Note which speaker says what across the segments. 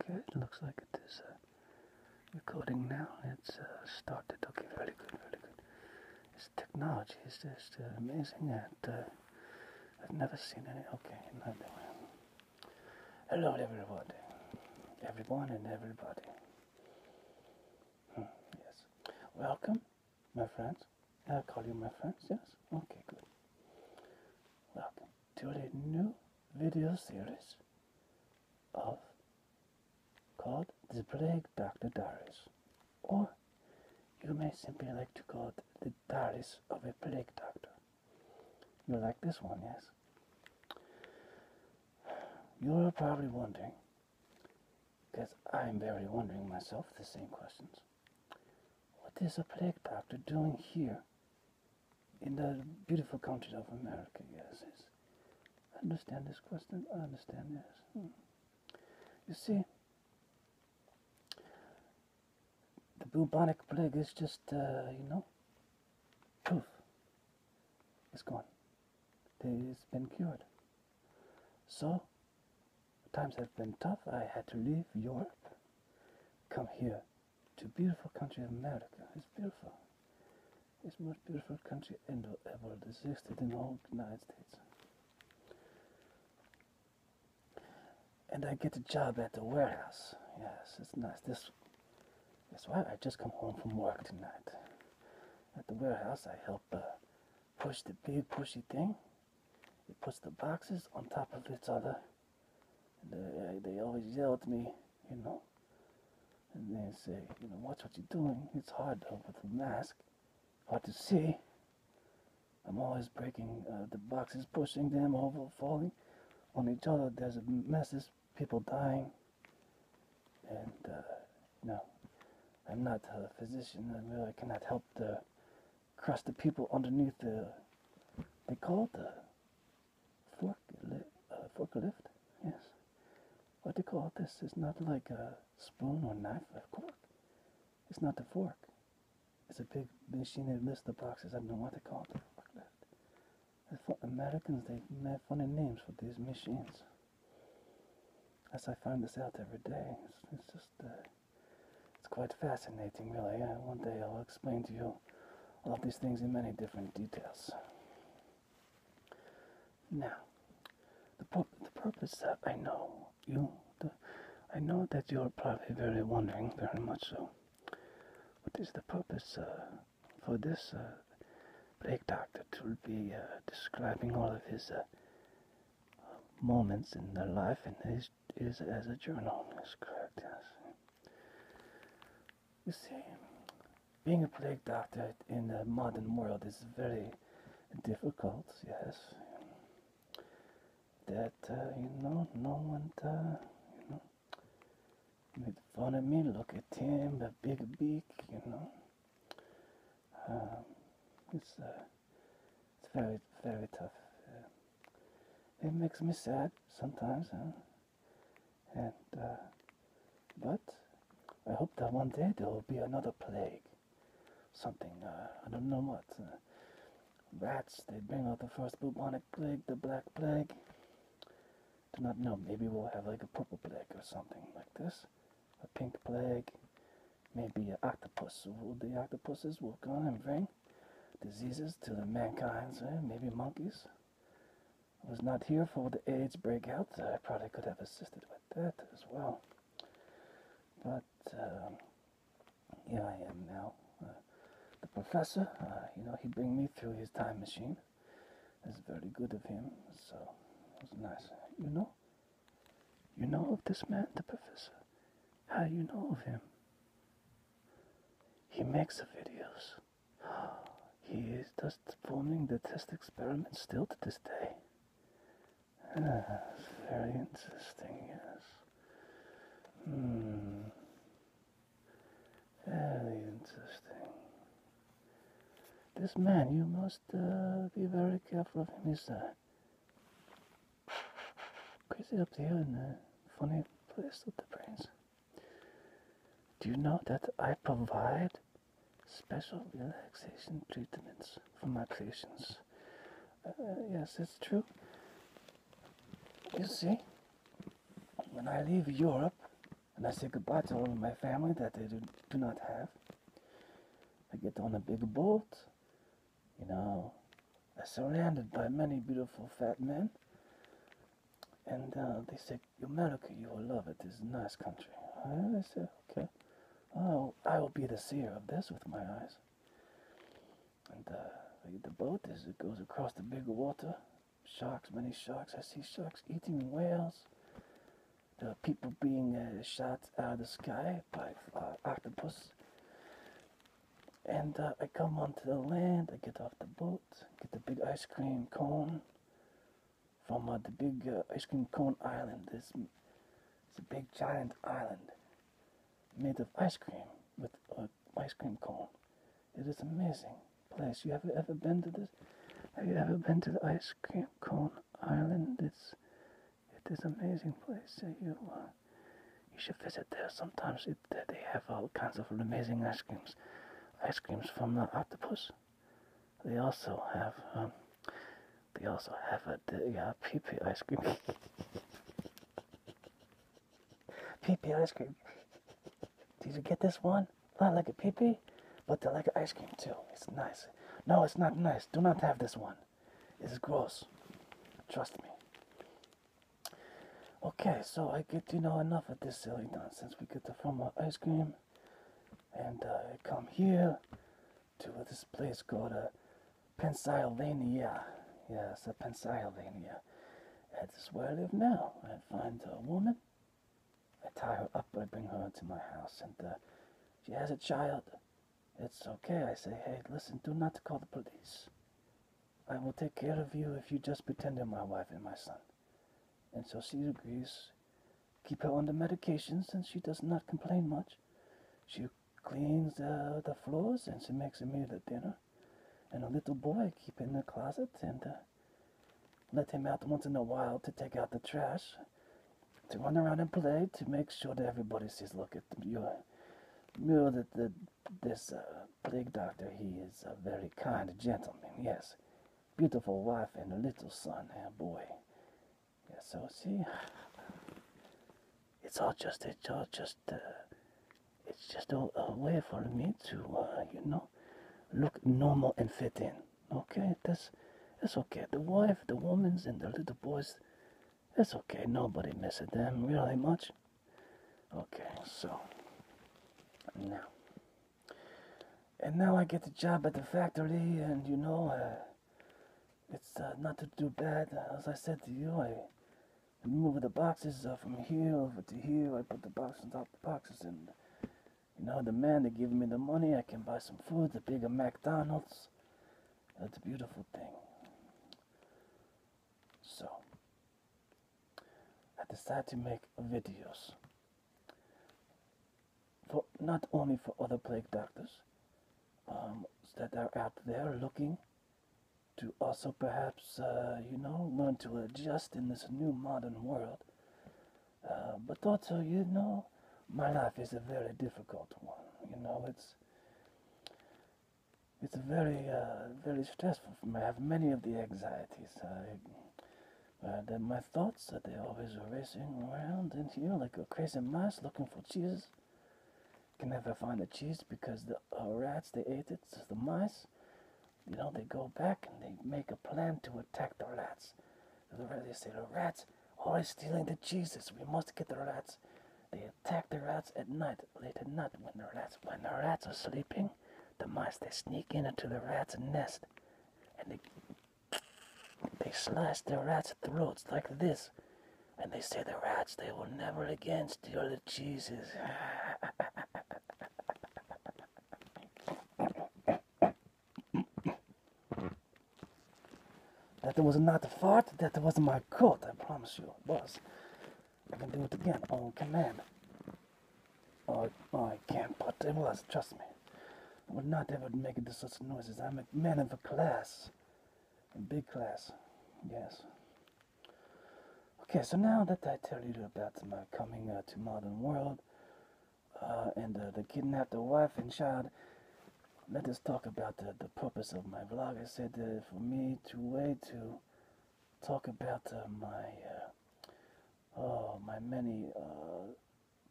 Speaker 1: Okay, it looks like it is uh, recording now. It's uh, started. Okay, really good, very good. This technology is just uh, amazing, uh, I've never seen any. Okay, another one. Hello, everybody, everyone, and everybody. Hmm, yes, welcome, my friends. i call you my friends. Yes. Okay, good. Welcome to a new video series called The Plague Doctor Darius, or you may simply like to call it The Darius of a Plague Doctor. You like this one, yes? You're probably wondering, because I'm very wondering myself the same questions. What is a plague doctor doing here in the beautiful country of America? Yes, yes. I understand this question. I understand, this. Hmm. You see, the bubonic plague is just, uh, you know, proof. It's gone. It's been cured. So, Times have been tough. I had to leave Europe, come here to beautiful country of America. It's beautiful. It's most beautiful country in the world. It's existed in all the United States. And I get a job at the warehouse. Yes, it's nice. This that's why I just come home from work tonight. At the warehouse, I help uh, push the big pushy thing. He puts the boxes on top of each other. And uh, they, always yell at me, you know. And they say, you know, watch what you're doing. It's hard though, with the mask. Hard to see. I'm always breaking uh, the boxes, pushing them over, falling on each other. There's a messes, people dying. And, uh, no, I'm not a physician. I, really cannot help the crust of people underneath the, they call it the forklift, uh, forklift, yes. What they call this is not like a spoon or knife of cork. It's not the fork. It's a big machine that lifts the boxes. I don't know what they call it, the Americans, they have funny names for these machines. As I find this out every day, it's, just, uh, it's quite fascinating, really. Uh, one day I'll explain to you all of these things in many different details. Now, the, the purpose that I know you, I know that you're probably very wondering, very much so. What is the purpose uh, for this uh, doctor to be uh, describing all of his moments in their life and his is as a journalist, correct, yes. You see, being a plague doctor in the modern world is very difficult, yes. That, uh, you know, no one, uh, you know, made fun of me, look at him, the big beak, you know. Um, it's, a. Uh, it's very, very tough. it makes me sad sometimes, and uh, but I hope that one day there will be another plague, something uh, I don't know what. Uh, rats they bring out the first bubonic plague, the black plague. Do not know. Maybe we'll have like a purple plague or something like this, a pink plague, Maybe an octopus will the octopuses will come and bring diseases to the mankind, eh? maybe monkeys. I was not here for the AIDS breakout. I probably could have assisted with that as well. But um, here I am now. Uh, the professor, uh, you know, he bring me through his time machine. It's very good of him, so it was nice. You know, you know of this man, the professor? How do you know of him? He makes the videos. He is just performing the test experiment still to this day. Ah, very interesting, yes. Hmm. Very interesting. This man, you must uh, be very careful of him, is there? crazy up there in the funny place with the brains. Do you know that I provide special relaxation treatments for my patients? Uh, yes, it's true. You see, when I leave Europe and I say goodbye to all of my family that they do not have, I get on a big boat. You know, I'm surrounded by many beautiful fat men. And uh, they say, America, you will love it. This a nice country. I said, okay. Oh, I will be the seer of this with my eyes. And uh, the boat as it goes across the big water. Sharks, many sharks. I see sharks eating whales. There people being uh, shot out of the sky by uh, octopus. And uh, I come onto the land, I get off the boat, get the big ice cream cone from the big ice cream cone island. This it's a big giant island made of ice cream with an ice cream cone. It is amazing place. You have ever been to this? Have you ever been to the ice cream cone island? It's it is amazing place. You uh, you should visit there. Sometimes it, they have all kinds of amazing ice creams. Ice creams from the octopus. They also have um, they also have a yeah, pee ice cream. pee ice cream. Did you get this one? Not like a pee but they like ice cream too. It's nice. No, it's not nice. Do not have this one. It's gross. Trust me. Okay, so I get, you know, enough of this silly nonsense. We get the from our ice cream. And uh, I come here to this place called uh, Pennsylvania. Yes, uh, Pennsylvania. That's where I live now. I find a woman. I tie her up. I bring her to my house. And uh, she has a child. It's okay, I say. Hey, listen, do not call the police. I will take care of you if you just pretend to be my wife and my son. And so she agrees. Keep her on the medication since she does not complain much. She cleans uh, the floors and she makes a meal at dinner. And a little boy keep in the closet and uh, let him out once in a while to take out the trash to run around and play to make sure that everybody sees. look at the mural, mural that the, this uh, plague doctor, he is a very kind gentleman, yes. Beautiful wife and a little son and eh, boy. Yeah, so see, it's all just, it's all just, uh, it's just a, way for me to, uh, you know, look normal and fit in. Okay, that's that's okay. The wife, the women's, and the little boys. That's okay. Nobody misses them really much. Okay, so now, and now I get the job at the factory, and you know, uh, it's uh, not to do bad. As I said to you, I. move the boxes uh, from here over to here. I put the boxes, of the boxes, and you know, the man that give me the money, I can buy some food, the bigger McDonald's. That's a beautiful thing. So, I decided to make videos. For not only for other plague doctors um, that are out there looking to also perhaps, uh, you know, learn to adjust in this new modern world. Uh, but also, you know, my life is a very difficult one. You know, it's it's very uh, very stressful for me. I have many of the anxieties. I, uh, that my thoughts that they are always racing around in here like a crazy mouse looking for cheese. Can never find the cheese because the rats they ate it. So the mice, you know, they go back and they make a plan to attack the rats the, they say the rats always stealing the cheeses. We must get the rats. They attack the rats at night, late at night when the rats when the rats are sleeping. The mice they sneak in into the rat's nest, and they they slice the rats' throats like this. And they say the rats they will never again steal the cheeses. That was not a fart, that was my coat, I promise you it was. I can do it again on command. Oh, I can't, but it was, trust me. I would not ever make such noises. I'm a man of a class. A big class, yes. Okay, so now that I tell you about my coming uh, to modern world, uh, and the kidnapped wife and child. Let us talk about the, the purpose of my vlog. I said uh, for me to way to talk about uh, my uh, oh my many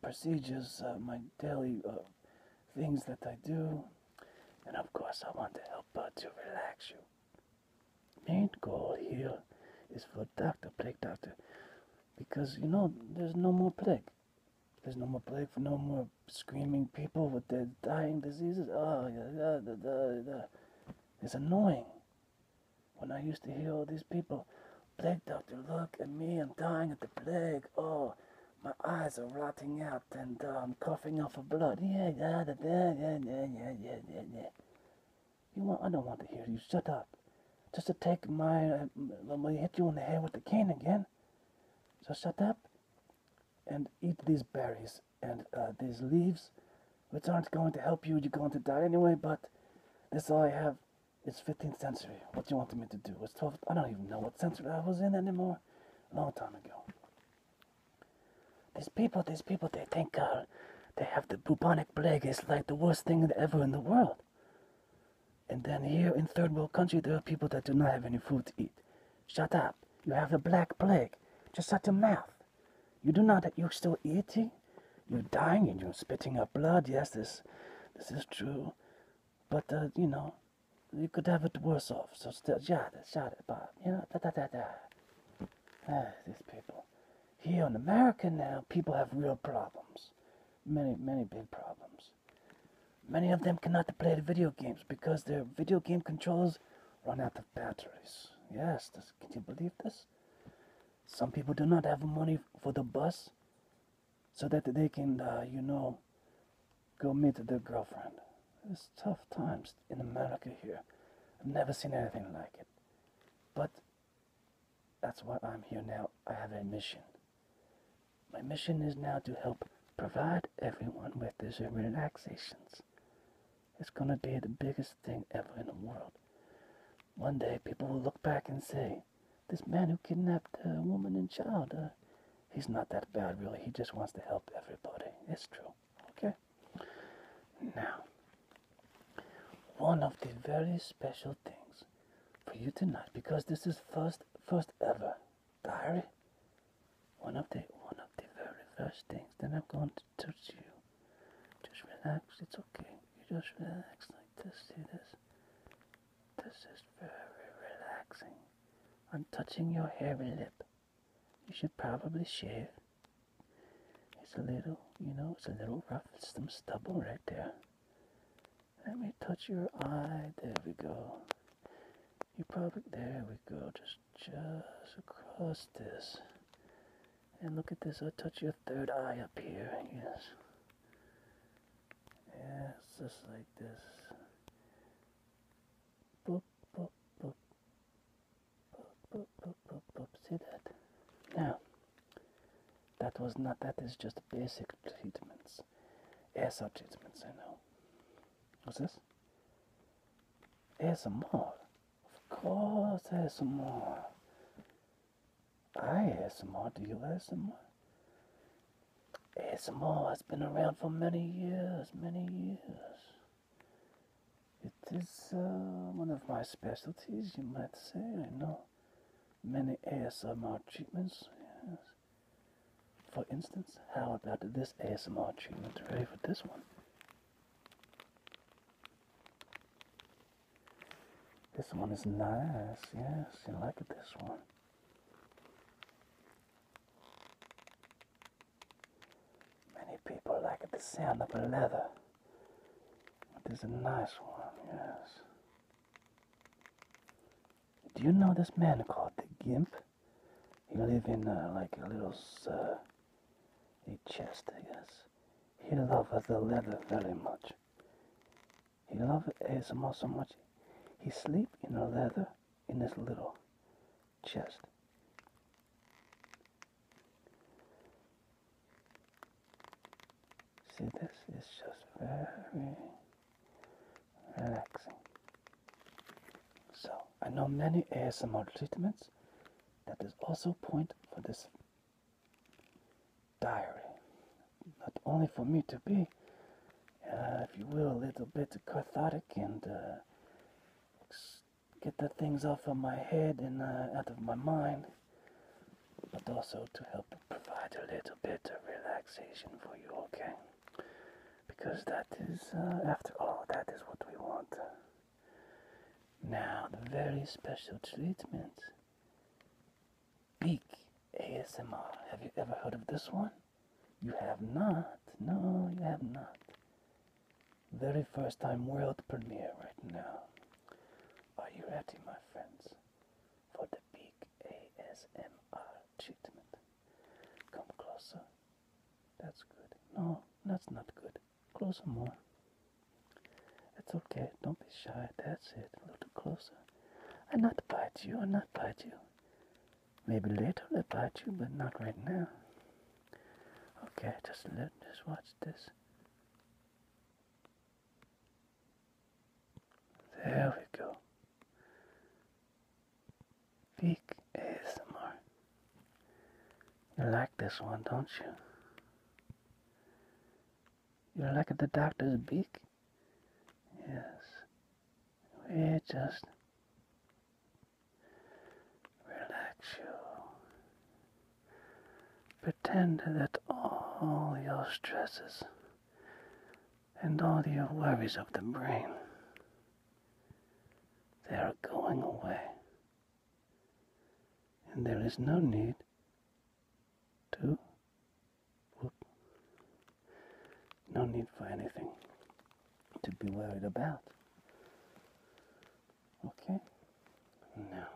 Speaker 1: procedures, my daily things that I do, and of course I want to help to relax you. Main goal here is for Dr. Blake Doctor because you know there's no more plague. There's no more plague for no more screaming people with their dying diseases. Oh, yeah, da, da, da, it's annoying. When I used to hear all these people, plague doctor, look at me, I'm dying of the plague. Oh, my eyes are rotting out and I'm um, coughing off the blood. yeah, yeah, yeah, yeah, yeah, yeah, yeah. You want? I don't want to hear you. Shut up. Just to take my, let uh, me hit you in the head with the cane again. So shut up and eat these berries and uh, these leaves, which aren't going to help you. You're going to die anyway. But that's all I have. It's 15th century. What do you want me to do? It's 12th. I don't even know what century I was in anymore. long time ago. These people, these people, they think. Uh, they have the bubonic plague. It's like the worst thing ever in the world. And then here in third world country, there are people that do not have any food to eat. Shut up. You have the black plague. Just shut your mouth. You do not. that You're still eating. You're dying and you're spitting up blood. Yes, this, this is true. But uh, you know, you could have it worse off. So still, shut shut it, Bob. You know, da da da da. Ah, these people here in America now, people have real problems. Many, many big problems. Many of them cannot play the video games because their video game controllers run out of batteries. Yes, can you believe this? Some people do not have money for the bus so that they can, uh, you know, go meet their girlfriend. It's tough times in America here. I've never seen anything like it. But that's why I'm here now. I have a mission. My mission is now to help provide everyone with these relaxations. It's gonna be the biggest thing ever in the world. One day people will look back and say, this man who kidnapped a woman and child, uh, he's not that bad really, he just wants to help everybody. It's true, okay? Now, one of the very special things for you tonight, because this is first, first ever diary. One of the, one of the very first things that I'm going to touch you. Just relax. It's okay. You just relax like this. See this? This is very relaxing. I'm touching your hairy lip. You should probably shave it's a little, you know, it's a little rough. It's some stubble right there. Let me touch your eye. There we go. You probably, there we go. Just, just across this. And look at this. i touch your third eye up here. Yes. Yes, just like this. Boop, boop, boop, see that? Now, that was not, that is just basic treatments. ASL treatments, I know. What's this? ASMR. Of course, ASMR. I ASMR, do you ASMR? ASMR has been around for many years, many years. It is uh, one of my specialties, you might say. I know many ASMR treatments. Yes. For instance, how about this ASMR treatment? Ready for this one? This one is nice. Yes, you like this one. Many people like the sound of leather. It is a nice one, yes. Do you know this man called the Gimp? He lives in uh, like a little uh, a chest, I guess. He loves the leather very much. He loved ASMR so much. He sleep in a leather in this little chest. See, this is just very relaxing. So, I know many ASMR treatments. That is also point for this diary. Not only for me to be, uh, if you will, a little bit cathartic and uh, get the things off of my head and uh, out of my mind, but also to help provide a little bit of relaxation for you, okay? Because that is, uh, after all, that is what we want. Now, the very special treatment. Beak ASMR. Have you ever heard of this one? You have not. No, you have not very first time world premiere right now. Are you ready, my friends, for the big ASMR treatment? Come closer. That's good. No, that's not good. Closer more. It's okay. Don't be shy. That's it. A little closer. I am not bite you. I am not bite you. Maybe later I bite you, but not right now. Okay, just let just watch this. There we go. is more. You like this one, don't you? You like the doctor's beak? Yes. We just Relax you. Pretend that all your stresses and all your worries of the brain they are going away. And there is no need to no need for anything to be worried about. Okay? Now,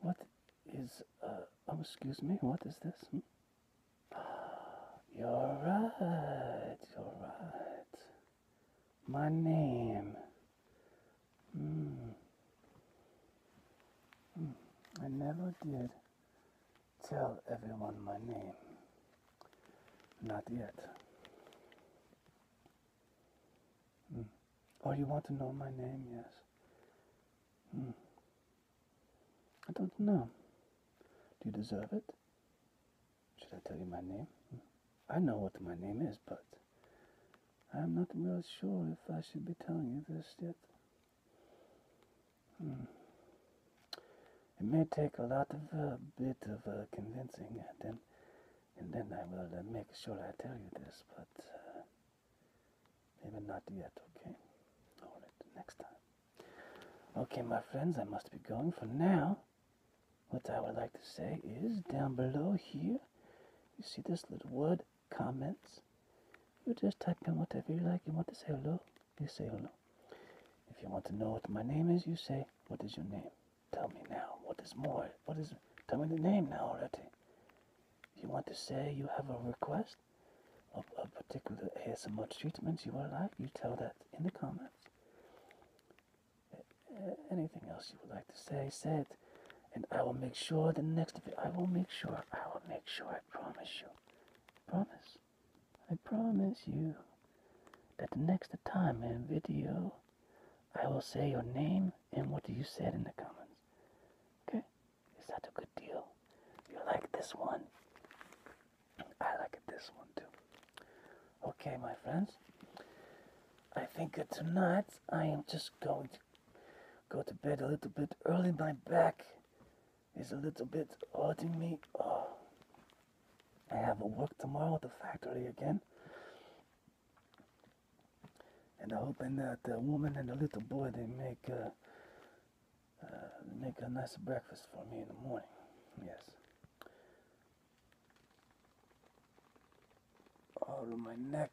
Speaker 1: what is, uh, oh, excuse me, what is this? Hmm? You're right, you're right. My name. Mm. I never did. Tell everyone my name. Not yet. Mm. Oh, you want to know my name? Yes. Hmm. I don't know. Do you deserve it? Should I tell you my name? Hmm. I know what my name is, but I'm not real sure if I should be telling you this yet. Hmm. It may take a lot of a uh, bit of uh, convincing, and then and then I will uh, make sure I tell you this, but uh, maybe not yet. Okay. All right, next time. Okay, my friends, I must be going for now. What I would like to say is down below here, you see this little word comments. You just type in whatever you like. You want to say hello, you say hello. If you want to know what my name is, you say, What is your name? Tell me now. What is more? What is. Tell me the name now already. If you want to say you have a request of a particular ASMR treatments you would like, you tell that in the comments. anything else you would like to say, say it. And I will make sure the next I will make sure, I will make sure, I promise you. Promise. I promise you that the next time in video, I will say your name and what you said in the comments. Okay? Is that a good deal? You like this one? I like this one too. Okay, my friends. I think tonight I am just going to go to bed a little bit early. My back it's a little bit hurting me. Oh. I have a work tomorrow at the factory again. And I'm hoping that the woman and the little boy, they make, uh, uh, make a nice breakfast for me in the morning. Yes. Oh, my neck.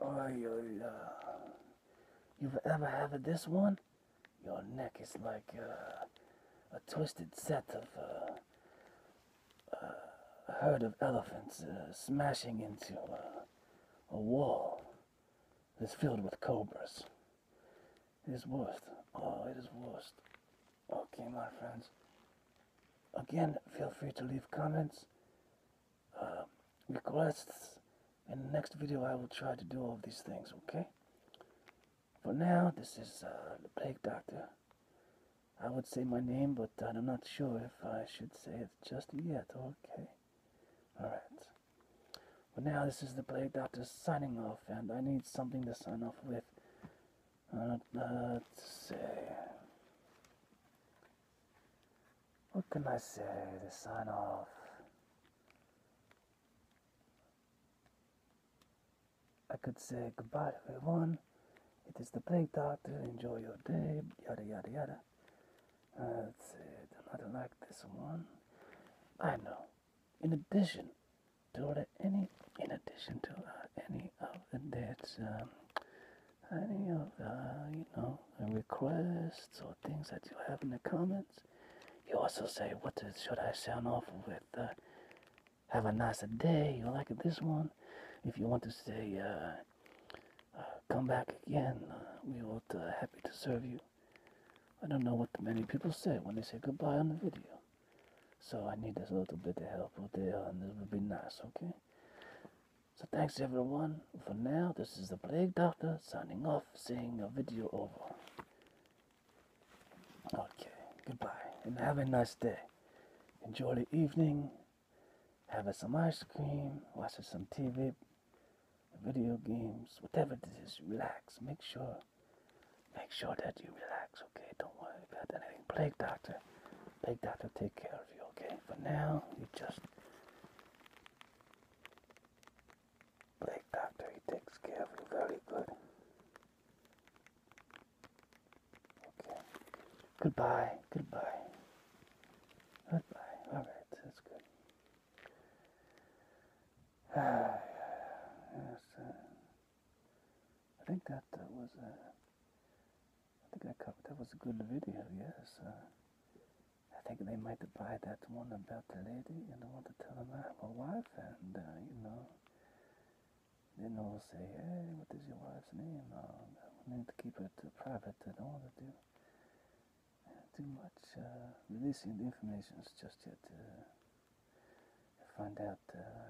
Speaker 1: Oh, yeah you've ever had this one, your neck is like uh, a twisted set of uh, uh, a herd of elephants smashing into a wall that's filled with cobras. It is worst. Oh, it is worst. Okay, my friends. Again, feel free to leave comments um, requests. In the next video, I will try to do all these things, okay? For now, this is uh, the Plague Doctor. I would say my name, but I'm not sure if I should say it just yet, okay? Alright. But now, this is the Plague Doctor signing off, and I need something to sign off with. Uh, let's see what can I say to sign off? I could say goodbye everyone. It is the plague doctor. Enjoy your day. Yada yada yada. Uh, let's see. I don't like this one. I know. In addition to any, in addition to uh, any of the dates, um, any of uh, you know requests or things that you have in the comments. You also say, what should I sound off with? Uh, have a nice day. You like this one? If you want to say, uh, uh, come back again, we will happy to serve you. I don't know what many people say when they say goodbye on the video. So I need a little bit of help out there, and this would be nice, okay? So thanks everyone for now. This is the Plague Doctor signing off, saying a video over. Okay, goodbye, and have a nice day. Enjoy the evening. Have some ice cream, watch some TV, video games, whatever it is. Relax. Make sure, make sure that you relax. Okay, don't worry about anything. Plague Doctor, Plague Doctor, take care of you. Okay. For now, you just like doctor, he takes care of you very good. Okay. Goodbye. Goodbye. Goodbye. All right, that's good. Ah, yes. Uh, I think that was a. Uh, I think that, that was a good video, yes. Uh, I think they might buy that one about the lady and the one to tell them I'm a wife and, uh, you know, then they'll say, hey, what is your wife's name? Uh, we to keep it private. I don't want to do too much uh, releasing the information just yet. Uh, find out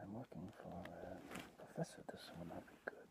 Speaker 1: I'm working for a professor. This will not be good.